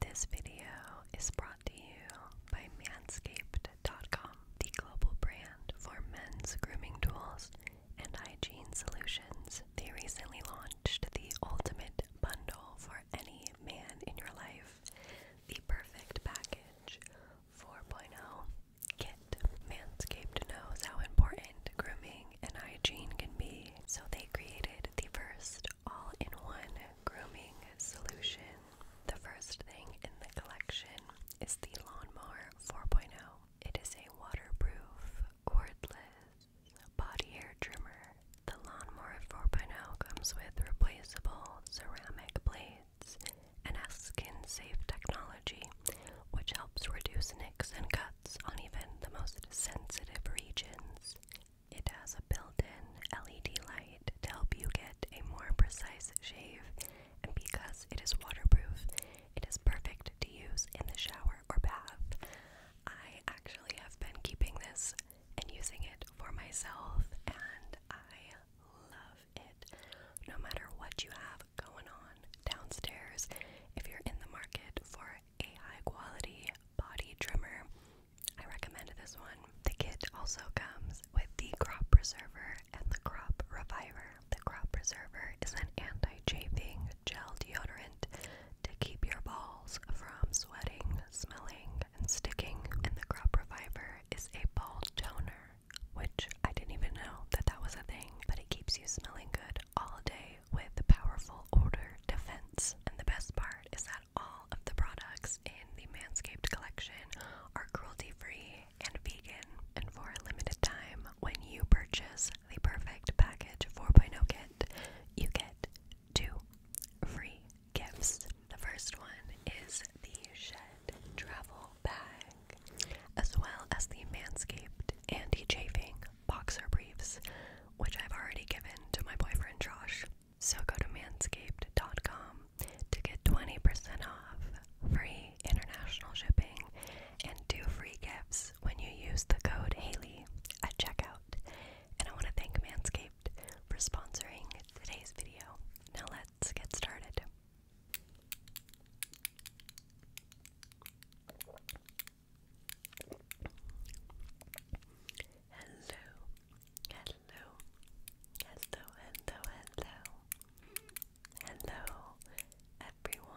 This video is brought to you by Manscaped.com, the global brand for men's grooming tools and hygiene solutions. They recently launched the ultimate bundle for any man in your life, the perfect package 4.0 kit. Manscaped knows how important grooming and hygiene can be, so they created the first all in one grooming solution. The first thing in the collection is the Lawnmower 4.0. It is a waterproof, cordless body hair trimmer. The Lawnmower 4.0 comes with replaceable ceramic blades and has skin safe technology, which helps reduce nicks and cuts on even the most sensitive regions. It has a built-in LED light to help you get a more precise shave, and because it is waterproof, it is perfect to use in the shower or bath. I actually have been keeping this and using it for myself, and I love it. No matter what you have going on downstairs, if you're in the market for a high quality body trimmer, I recommend this one. The kit also comes with the crop preserver and the crop reviver. The crop preserver is an anti-chafing gel deodorant to keep your balls from sweating, smelling, and sticking. And the crop reviver is a ball toner, which I didn't even know that that was a thing, but it keeps you smelling good all day with powerful odor defense. And the best part is that all of the products in the Manscaped collection are cruelty free and vegan. And for a limited time, when you purchase the Perfect Package 4.0 kit, you get two free gifts. The first one is the Shed Travel Bag, as well as the Manscaped Anti Chafing Boxer Briefs, which I've already given to my boyfriend Josh. So go to manscaped.com to get 20% off free international shipping and do free gifts when you use the code Haley at checkout. And I want to thank Manscaped for sponsoring today's video. Now let's get started. Hello, hello, hello, hello, hello, hello, everyone.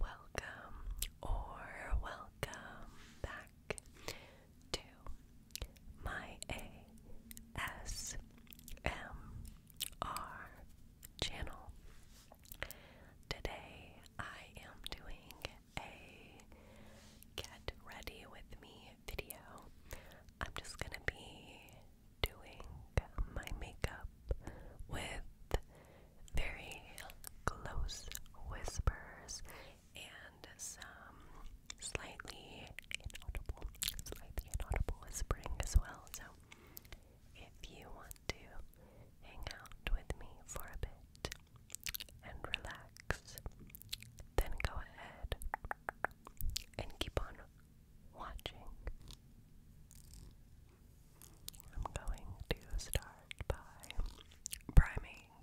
Welcome or welcome back to my ASMR channel. Today I am doing a get ready with me video. I'm just gonna be doing my makeup with very close whispers and some slightly inaudible, slightly inaudible whispering as well. So if you to hang out with me for a bit and relax, then go ahead and keep on watching. I'm going to start by priming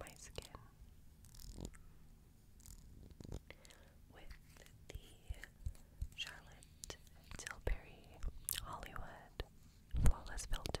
my skin with the Charlotte Tilbury Hollywood Flawless Filter.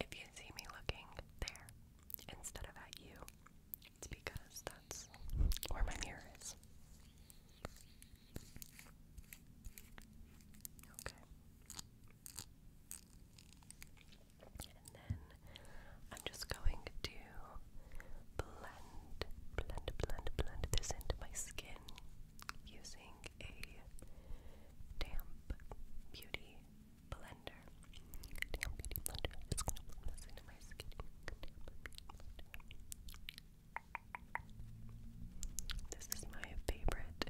If you see me looking there instead of at you, it's because that's where my mirror is. Okay. And then I'm just going to blend, blend, blend, blend this into my skin using a damp beauty blender. Damp beauty blender. i gonna blend this into my skin. This is my favorite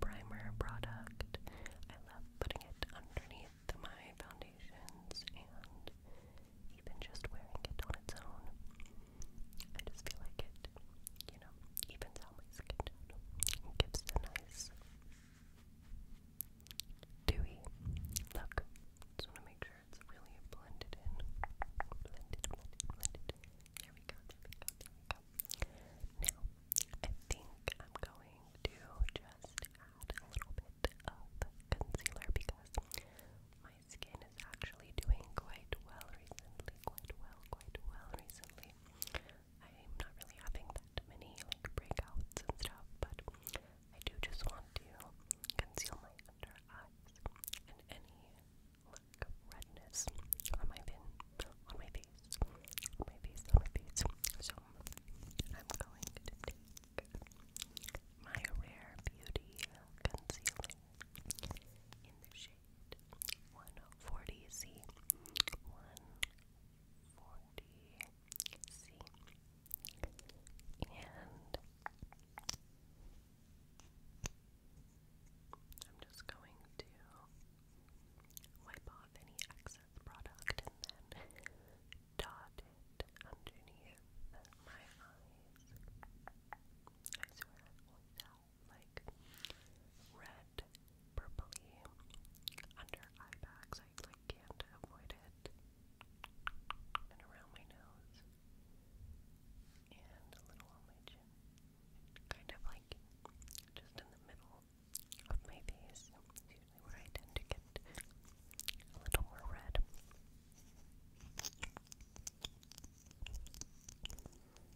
primer product. I love putting it underneath my foundations and even just wearing it on its own. I just feel like it you know, evens out my skin gives a nice dewy look. Just want to make sure it's really blended in. Blended, blended, blended. There we go. Now, I think I'm going to just add a little bit of concealer because my skin is actually doing quite well recently, quite well well, quite well recently. I'm not really having that many like breakouts and stuff, but I do just want to conceal my under eyes and any like redness on my fin, on my face, on my face, on my face. So I'm going to take my Rare Beauty Concealer in the shade 140C. 140C. And I'm just going to wipe off any excess product and then dot it underneath my eyes. I swear, without like red, purpley under eye bags. I like can't avoid it. And around my nose. And a little on my chin. Kind of like just in the middle of my face. usually where I tend to get a little more red.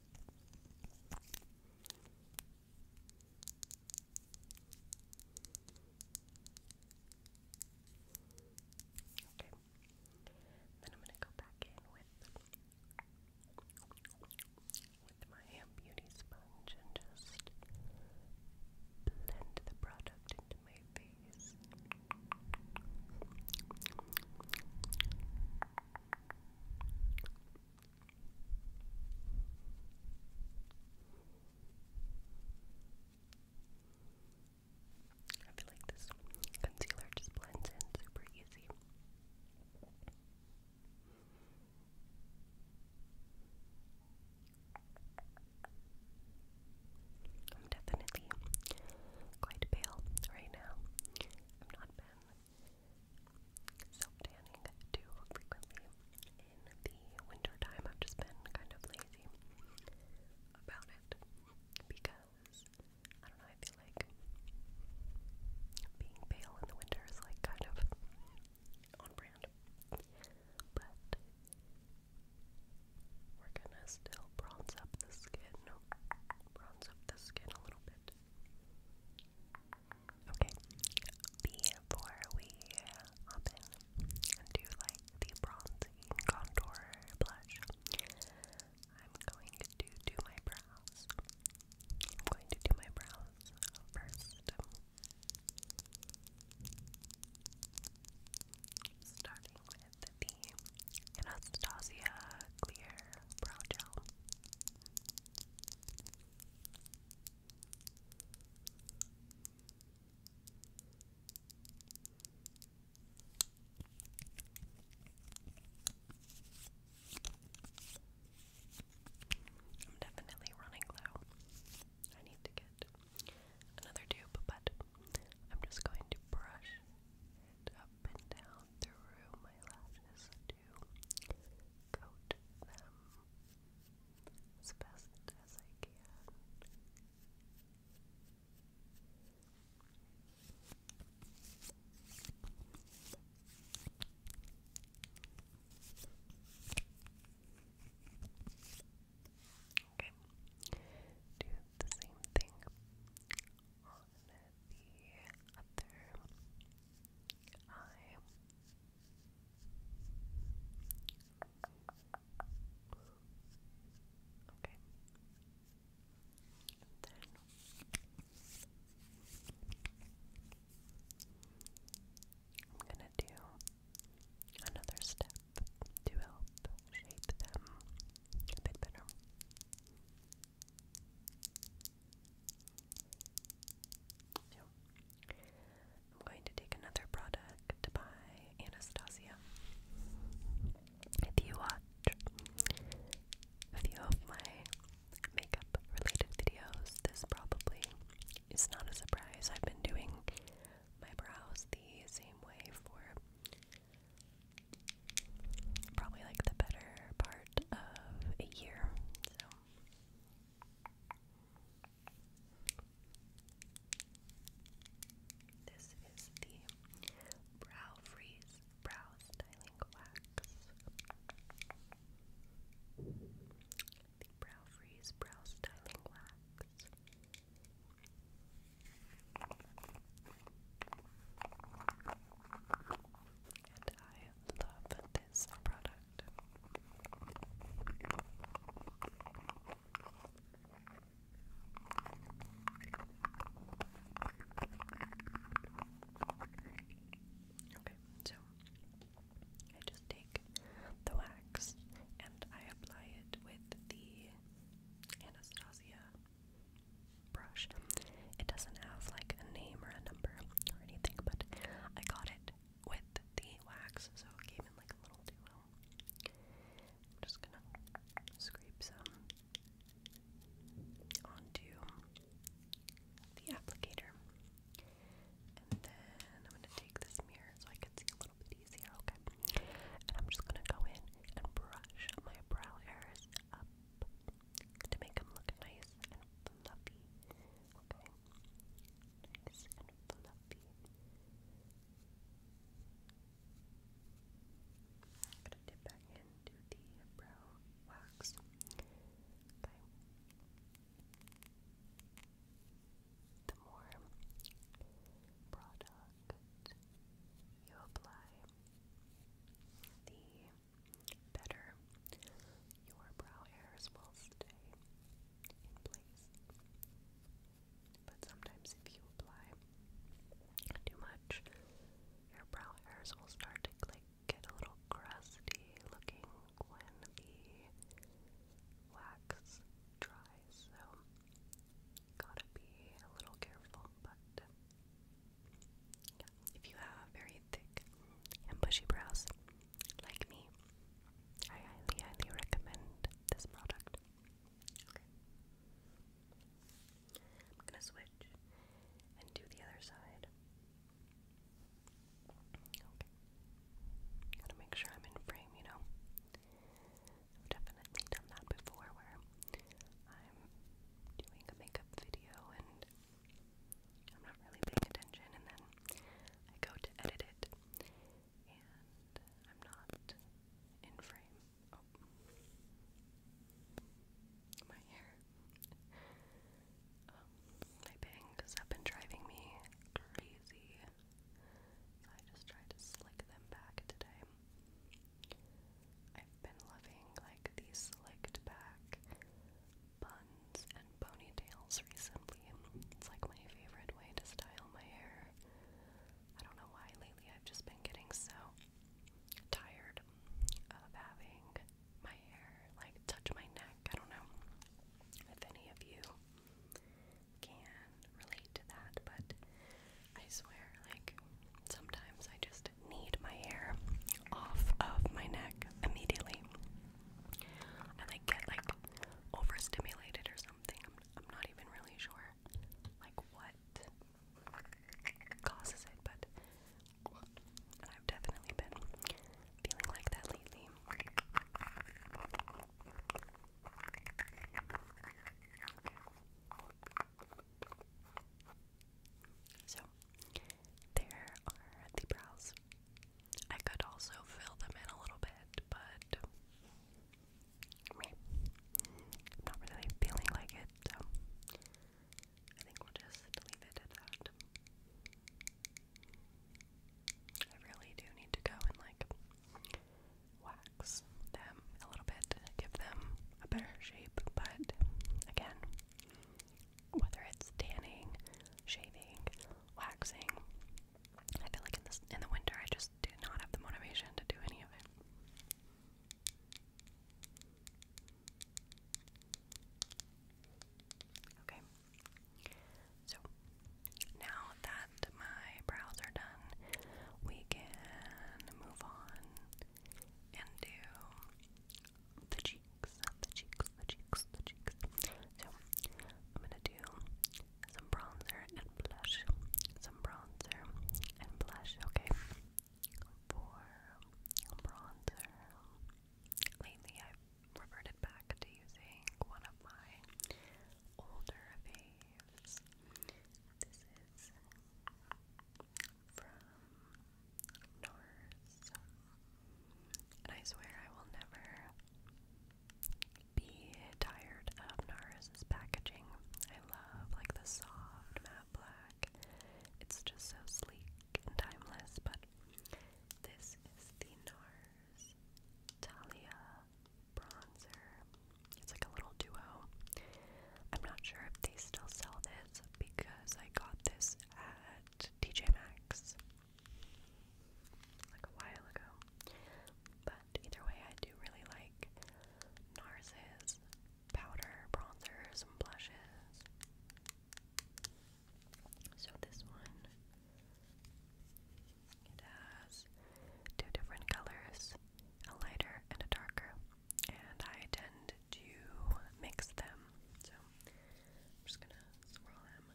Okay. Then I'm gonna go back in with with my beauty sponge and just blend the product into my face. I feel like this concealer just blends in super easy. I'm definitely quite pale right now. I've not been self tanning too frequently in the winter time. I've just been kind of lazy about it because I don't know. I feel like being pale in the winter is like kind of on brand, but we're gonna still bronze up the skin, bronze up the skin a little bit. Okay. Before we hop in and do like the bronzing contour blush, I'm going to do my brows. I'm going to do my brows first. Starting with the Anastasia Clear Brow Gel. I'm definitely running low. I need to get another tube, but I'm just going to brush up and down through my lashes to coat them as best as I can. Okay, do the same thing on the other eye. then I'm gonna do another step to help shape them a bit better. I'm going to take another product by Anastasia. If you watch a few of my makeup related videos, this probably is not a surprise. I've been doing my brows the same way for probably like the better part of a year. So this is the Brow Freeze Brow Styling Wax. The Brow Freeze Brow Styling Wax. And I love this product. Okay, so I just take the wax and I apply it with the Anastasia brush. It doesn't have like a name or a number or anything, but I got it with the wax, so came in like a little duo. just gonna scrape some onto the applicator. And then I'm gonna take this mirror so I can see a little bit easier, okay? And I'm just gonna go in and brush my brow hairs up to make them look nice and fluffy. Okay? Nice and fluffy. gonna dip back into the brow wax. The more product you apply, the better, your brow hairs will stay in place. But sometimes, if you apply too much, your brow hairs will start to like get a little crusty looking when the wax dries. So, gotta be a little careful, but if you have very thick and bushy brows, like me, I highly, highly recommend this product. Okay. I'm gonna switch and do the other side. Okay. Gotta make sure I'm in frame, you know. I've definitely done that before where I'm doing a makeup video and I'm not really paying attention, and then I go to edit it, and I'm not in frame. Oh. my hair. Um, my bangs have been driving me crazy, I just tried to slick them back today. I've been loving like the slicked back buns and ponytails recently. It's like my favorite way to style my hair. I don't know why lately I've just been getting so tired of having my hair like touch my neck. I don't know if any of you can relate to that, but I swear, like, sometimes I just need my hair off of my neck immediately. I like get like overstimulated or something. I'm, I'm not even really sure like what causes it, but I've definitely been feeling like that lately. So, there are the brows. I could also fill them in a little bit, but I'm not really feeling like it, so I think we'll just leave it I really do need to go and like wax them a little bit, give them a better shape, but again, whether it's tanning, shaving, waxing. I feel like in this in the winter I just do not have the motivation to do any of it. Okay. So now that my brows are done, we can move on and do the cheeks, the cheeks, the cheeks, the cheeks. So I'm gonna do some bronzer and blush, some bronzer and blush. Okay, for bronzer, lately i reverted back to using one of my older faves. This is from NARS. And I swear I will never be tired of NARS's packaging. I love like the soft matte black. It's just so sleek and timeless, but this is the NARS Talia bronzer. It's like a little duo. I'm not sure if they still sell this because I got this at TJ Maxx like a while ago. But either way, I do really like NARS's powder, bronzers, and blushes. So this one, it has two different colors, a lighter and a darker, and I tend to mix them. So I'm just gonna swirl them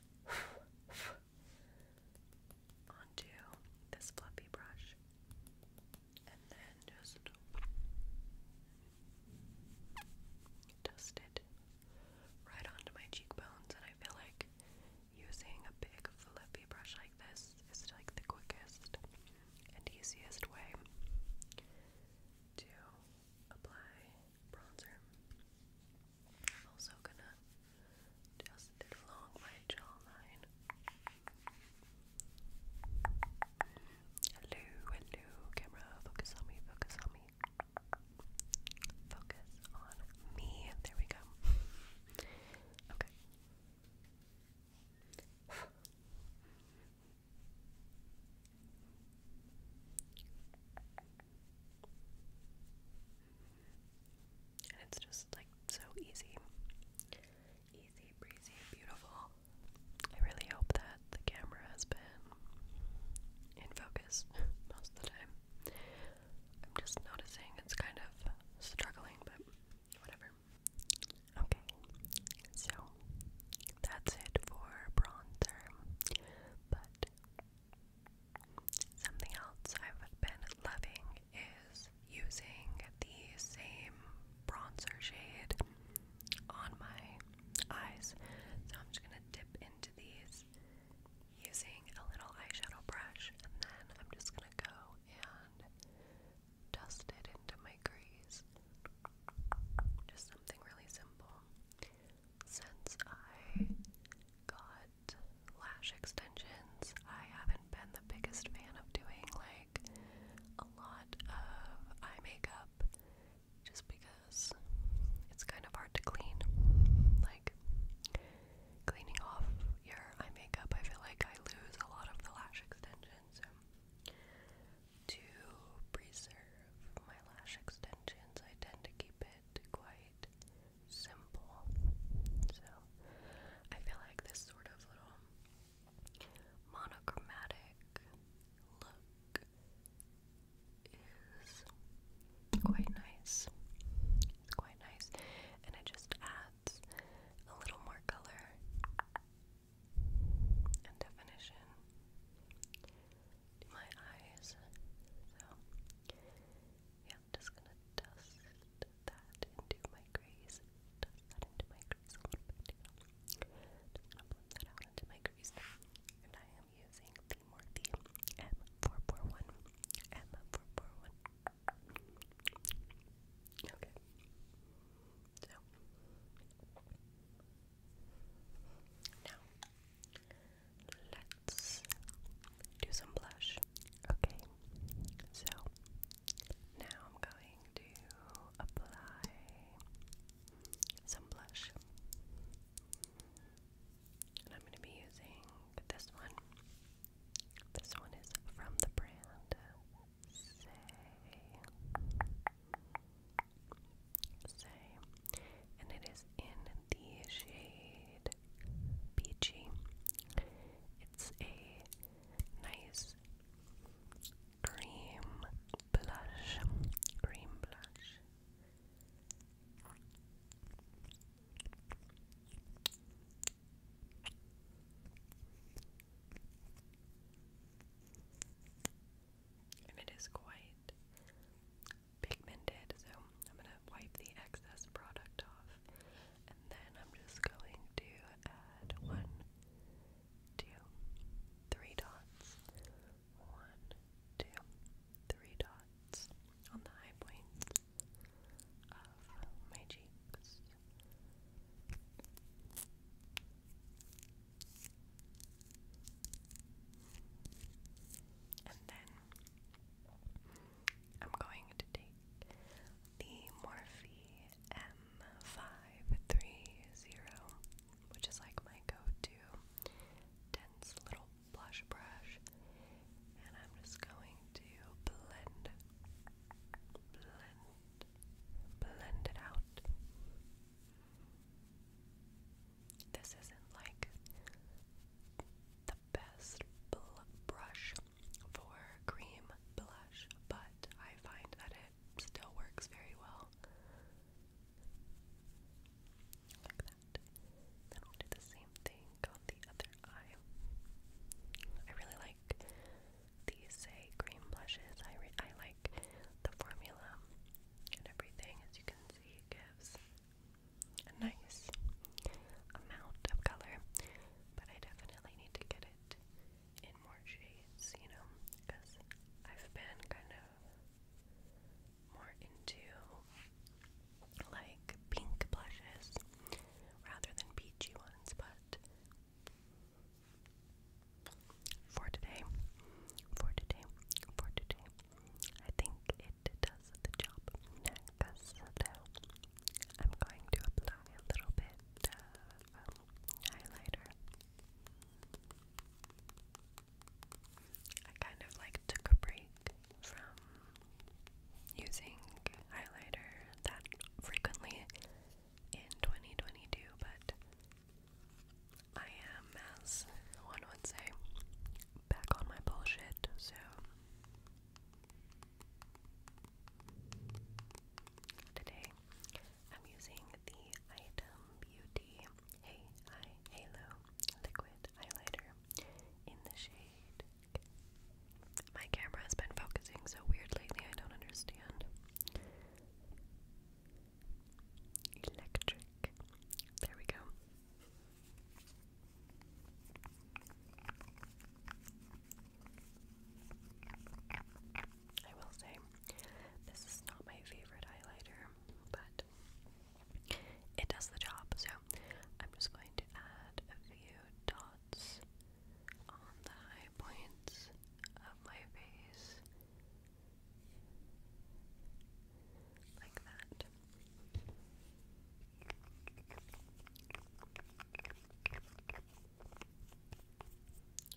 onto this fluffy brush and then just dust it right onto my cheekbones. And I feel like using a big fluffy brush like this is like the quickest and easiest way to apply bronzer. I'm also gonna just along my jawline. Hello, hello, camera. Focus on me, focus on me. Focus on me. There we go. Okay it's just like so easy. Easy, breezy, beautiful. I really hope that the camera has been in focus most of the time. I'm just noticing it's kind of struggling, but whatever. Okay, so that's it for bronzer. But something else I've been loving is using the same bronzer shade on my eyes. So I'm just going to dip into these using a little eyeshadow brush and then I'm just going to go and dust it into my crease. Just something really simple. Since I got lash extensions, I haven't been the biggest fan of doing like a lot of eye makeup just because it's kind of hard to clean. Like, cleaning off your eye makeup, I feel like I lose a lot of the lash extensions to preserve my lash extensions, I tend to keep it quite simple. So I feel like this sort of little monochromatic look is quite nice. It's quite nice, and it just adds a little more color and definition to my eyes. So, yeah, I'm just gonna dust that into my crease. Dust that into my crease a little bit. You know. Just gonna blend that out into my crease. And I am using the Morphe M441. M441. Okay. So now Let's do some blush. Okay, so now I'm going to apply some blush. And I'm going to be using this one. This one is from the brand say, and it is in the shade Peachy. It's a nice cream blush, cream blush. And it is quite pigmented, so I'm gonna wipe the excess product off, and then I'm just going to add one, two, three dots, one, two, three dots on the high points of my cheeks. And then I'm going to take the Morphe M530, which is like my go to dense little blush brush, and I'm just going to blend, blend, blend it out. This isn't like the best brush for cream blush, but I find that it still works very well. Like that. Then we'll do the same thing on the other eye. I really like these say cream blushes. I, I like the formula and everything, as you can consistency gives a nice amount of color, but I definitely need to get it in more shades, you know, because I've been kind of more into like pink blushes rather than peachy ones, but for today, for today, for today, I think it does the job. Next, I'm going to apply a little bit of um, highlighter. I kind of like took a break from using highlighter that frequently in 2022, but I am, as one would say, back on my bullshit, so. Today, I'm using the Item Beauty Halo Liquid Highlighter in the shade. My camera has been focusing so weird lately, I don't understand. Electric. There we go. I will say, this is not my favorite highlighter, but it does the job. So I'm just going to add a few dots on the high points of my face like that.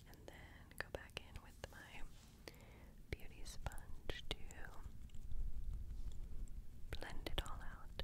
And then go back in with my beauty sponge to blend it all out.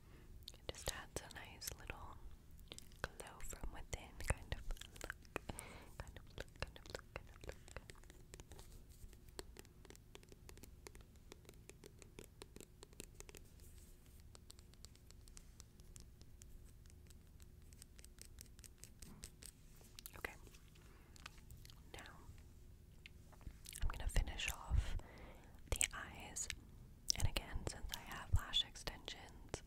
It just adds a nice little glow from within kind of look. Okay. Now I'm going to finish off the eyes and again, since I have lash extensions,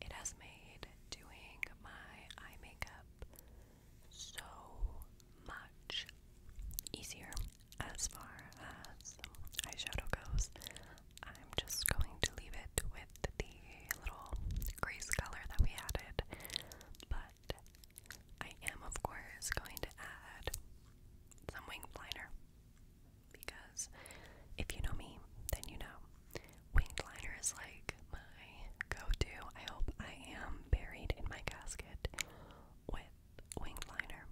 it has made doing my eye makeup so much easier as far as eyeshadow goes. I'm just going to leave it with the little crease color that we added, but I am, of course, going to add some wing liner because if you know me, then you know. Winged liner is like my go-to. I hope I am buried in my casket with winged liner.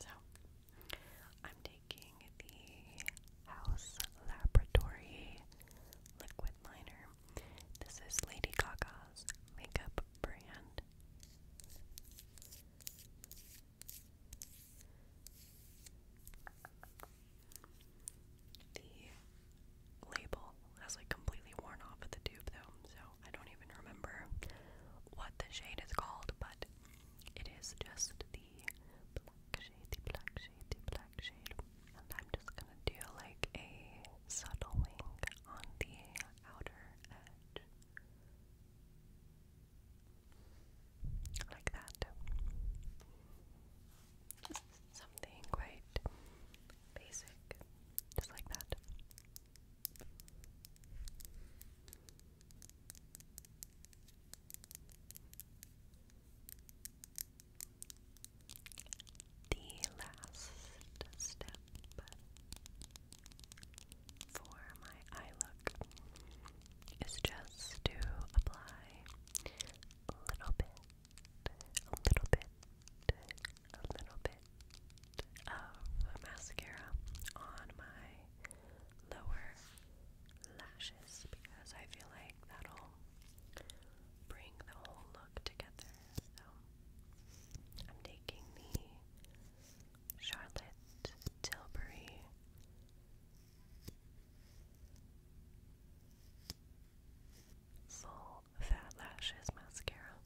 So, I'm taking the House Laboratory liquid liner. This is Lady Gaga's makeup brand. The label has like completely worn off of the tube though, so I don't even remember what the shade is called, but it is just the black shade, the black shade, the black shade. And I'm just gonna do like a subtle wing on the outer edge. Like that. something quite basic, just like that. The last step for my eye look is just to apply a little bit, a little bit, a little bit of mascara on my lower lashes because I feel like that'll bring the whole look together. So I'm taking the Charlotte Tilbury. Soul Fat Lashes Mascara.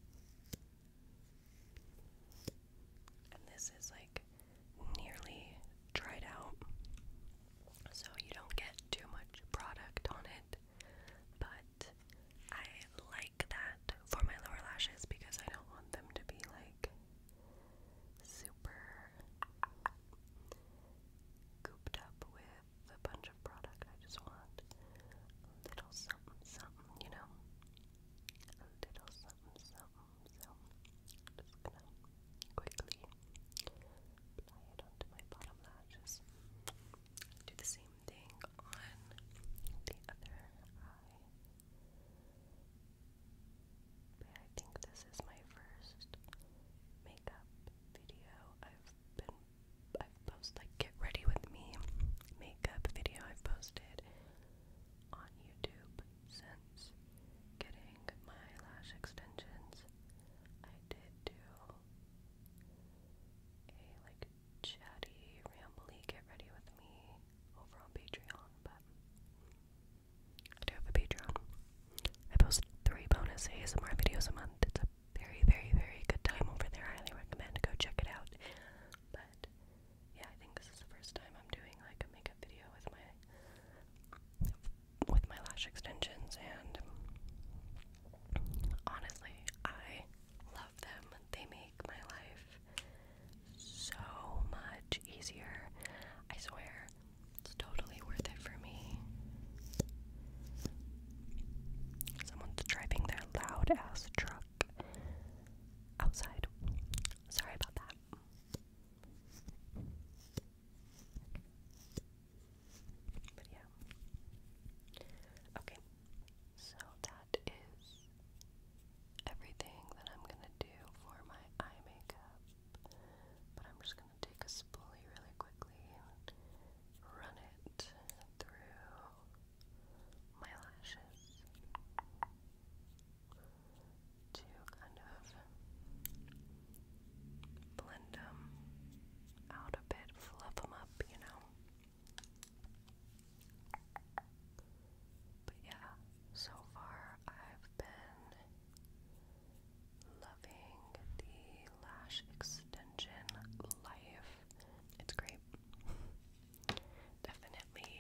And this is like nearly dried out, so you don't get too much product on it. But I like that for my lower lashes because I don't want them to be like super cooped up with a bunch of product. I just want little something, something, you know? little something, something. So just gonna quickly apply it onto my bottom lashes. Do the same thing on the other eye. I think this is my first makeup video. I've been I've posted like get ready with me makeup video I've posted on YouTube since getting my lash extensions. I did do a like chatty, rambly get ready with me over on Patreon, but I do have a Patreon. I post three bonus ASMR videos a month. It's a very, very, very good time over there. highly recommend go check it out. But yeah, I think this is the first time I'm doing like a makeup video with my with my lash extensions and honestly, I love they make my life so much easier. I swear, it's totally worth it for me. Someone's driving their loud ass truck outside. Sorry about that. Okay. So that is everything that I'm gonna do for my eye makeup. But I'm just gonna take a spoolie really quickly and run it through my lashes to kind of blend them out a bit, fluff them up, you know. But yeah, so far I've been loving the lash extension life. It's great. Definitely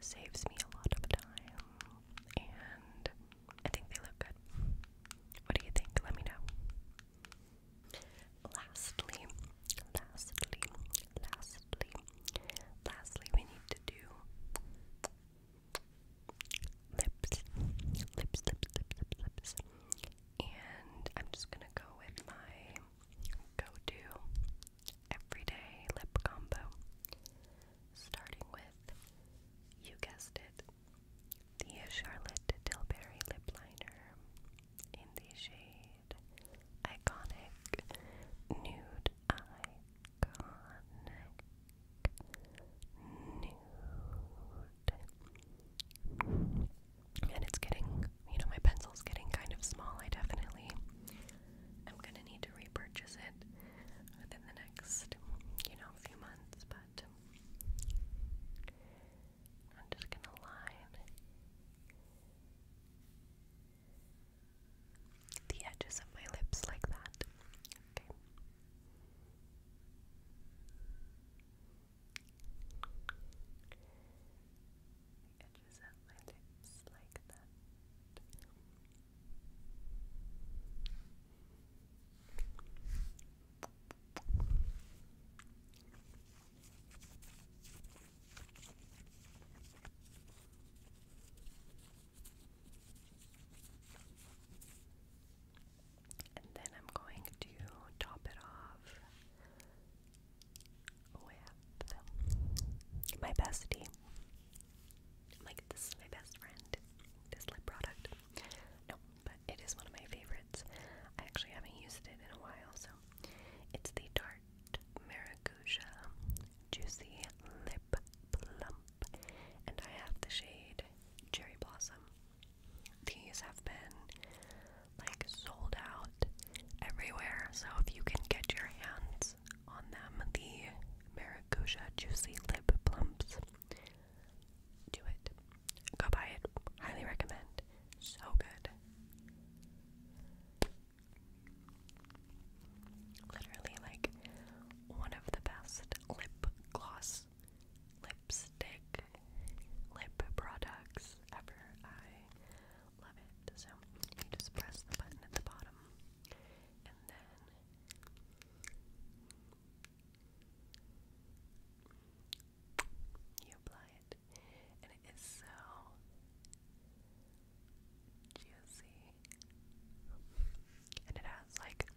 saves me a lot of time, and I think they look good. What do you think? Let me know. Lastly, lastly, lastly, lastly, we need to do lips, lips, lips, lips, lips, And I'm just gonna go with my go-to everyday lip combo, starting with, you guessed it, the Charlotte Tilbury lip liner in the shade Iconic. Nude. Iconic. Nude. And it's getting, you know, my pencil's getting kind of small. I definitely am going to need to repurchase it within the next, you know, few months, but I'm just going to line the edges of my lips like that. Okay. The edges of my lips like that. And then I'm going to top it off with my bestie. Like, this is my best friend, this lip product. No, but it is one of my favorites. I actually haven't used it in a while, so it's the Tarte Tart Maracuja Juicy Lip Plump, and I have the shade Cherry Blossom. These have been like sold out everywhere, so if you can get your hands on them, the Maracuja Juicy Lip Plumps, do it. Go buy it. Highly recommend. So good. Literally, like, one of the best lip gloss, lipstick, lip products ever. I love it. So, you just press the button at the bottom, and then you apply it. And it is so juicy. And it has like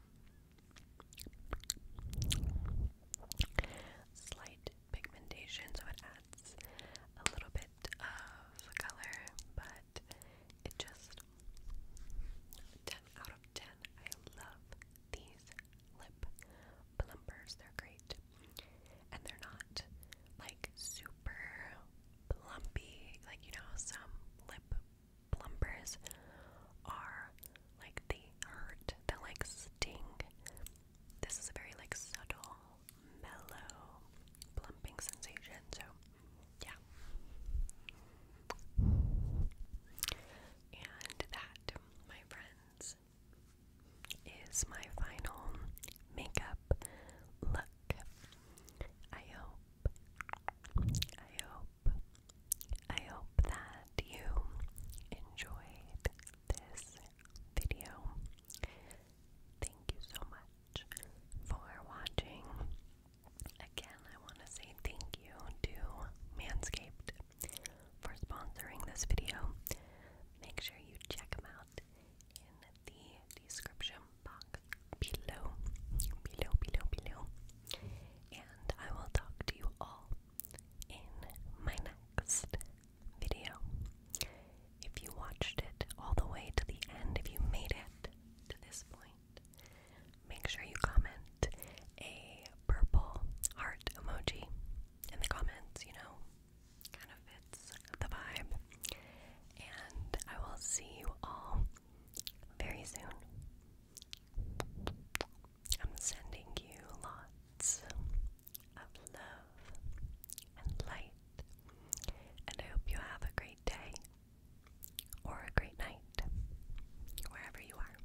slight pigmentation, so it adds a little bit of color, but it just 10 out of 10. I love these lip plumpers, they're great and they're not like super plumpy. Like, you know, some lip plumpers are like they hurt, they like sting. This is a very like subtle, mellow plumping sensation. So, yeah. And that, my friends, is my final makeup look. I hope, I hope, I hope that you enjoyed this video. Thank you so much for watching. Again, I want to say thank you to Manscaped for sponsoring this video. Make sure you check them out the description box below, below, below, below. And I will talk to you all in my next video. If you watched it all the way to the end, if you made it to this point, make sure you comment a purple heart emoji in the comments, you know, Kind of fits the vibe. And I will see you all very soon. I'm sending you lots of love and light. And I hope you have a great day or a great night, wherever you are.